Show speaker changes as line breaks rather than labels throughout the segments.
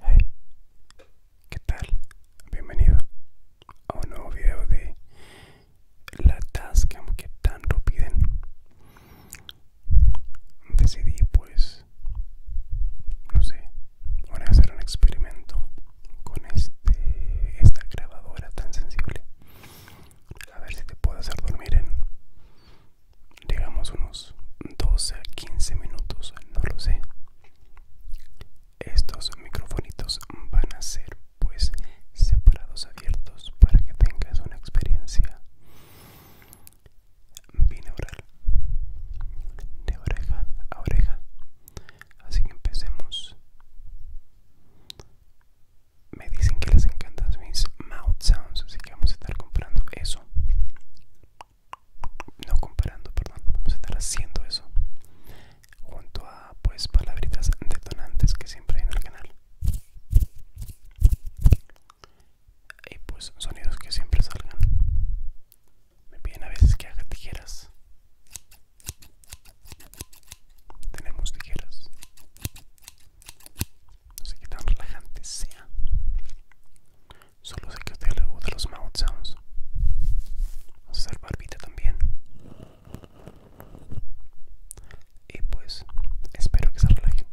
Hey, ¿qué tal? Bienvenido a un nuevo video de la Tascam que tan piden. Decidí pues, no sé, voy a hacer un experimento con este, esta grabadora tan sensible a ver si te puedo hacer dormir en digamos unos 12 a 15 minutos no lo sé estos microfonitos van a ser pues separados abiertos para que tengas una experiencia binaural de oreja a oreja así que empecemos me dicen que les encantan mis mouth sounds así que vamos a estar comprando eso no comparando perdón vamos a estar haciendo eso junto a pues palabritas detonantes que siempre hay en el canal y pues sonidos que siempre salgan me piden a veces que haga tijeras tenemos tijeras. No sé qué tan relajante sea. Solo sé que te usted le los mouth sounds. Vamos a hacer barbita también. Y pues, espero que se relajen.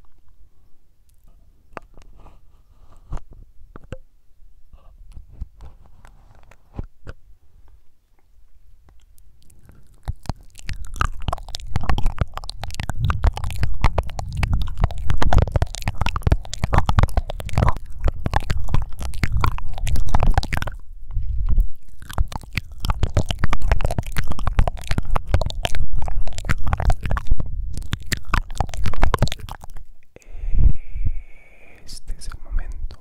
Este es el momento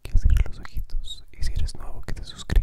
que hacer los ojitos y si eres nuevo que te suscribas.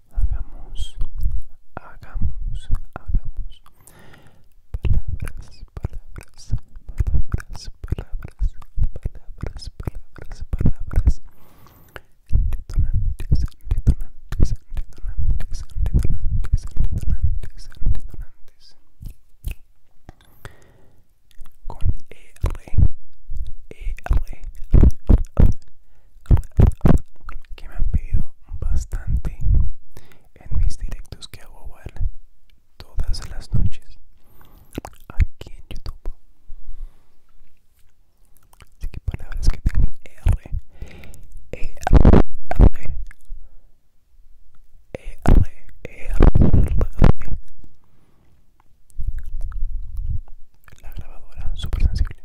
hagamos, hagamos, hagamos palabras, palabras, palabras, palabras, palabras, palabras, palabras detonantes, detonantes, detonantes, detonantes, detonantes, detonantes con er que me han pedido bastante en mis directos que hago igual todas las noches aquí en YouTube. Así que palabras que tengan R, E, R, e, R, e, R. La grabadora super sensible.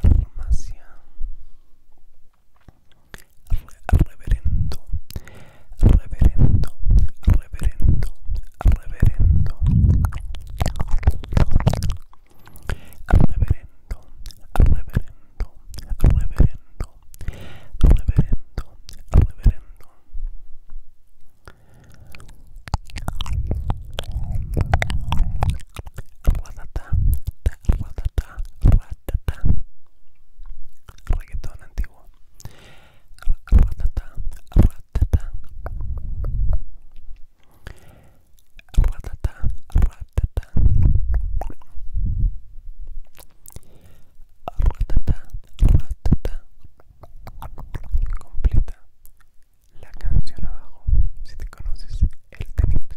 farmacia reverendo reverendo reverendo reverendo reverendo reverendo reverendo reverendo reverendo ratata, ratata, ratata, reggaetón antiguo, ratata, ratata, ratata, ratata, ratata, ratata, completa la canción abajo si te conoces el temita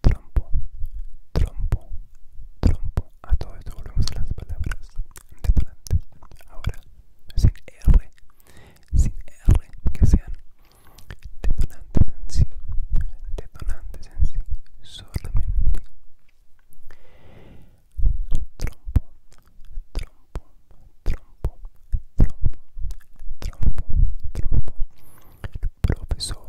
trompo, trompo, trompo. A todo esto volvemos a las palabras detonantes. Ahora, sin R, sin R, que sean detonantes en sí, detonantes en sí, solamente. Trompo, trompo, trompo, trompo, trompo, trompo. Profesor,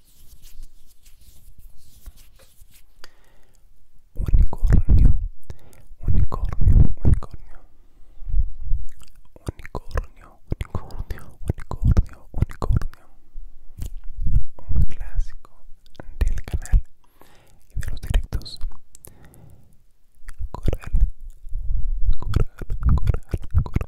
Unicornio, unicornio, unicornio. Unicornio, unicornio, unicornio, unicornio. Un clásico del canal y de los directos. Coral, coral, coral, coral,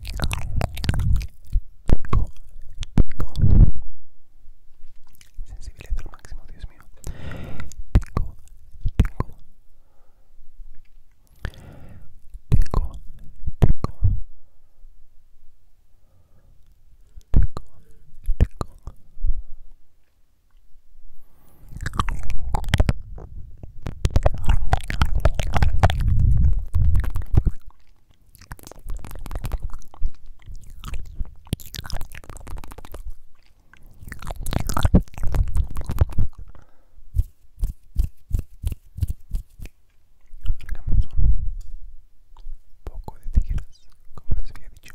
Pico, pico. Sensibilidad al máximo, Dios mío. Pico, pico. Pico, pico. Pico, pico un poco de tijeras, como les había dicho.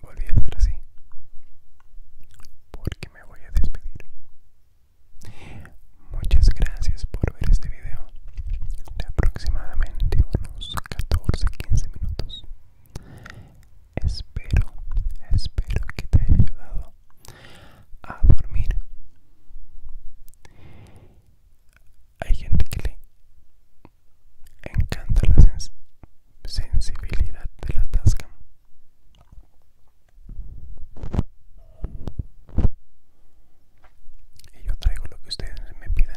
Voy a hacer así porque me voy a despedir. Muchas gracias por ver este video de aproximadamente unos 14-15 minutos. Espero, espero que te haya ayudado a dormir. Hay gente que le encanta la sensibilidad de la tasca. Y yo traigo lo que ustedes me pidan.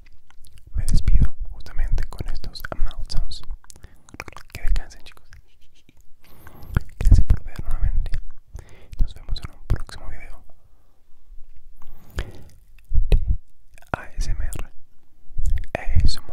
me despido justamente con estos mouth sounds. Que descansen, chicos. Gracias por ver nuevamente. Nos vemos en un próximo video ASMR. ASMR.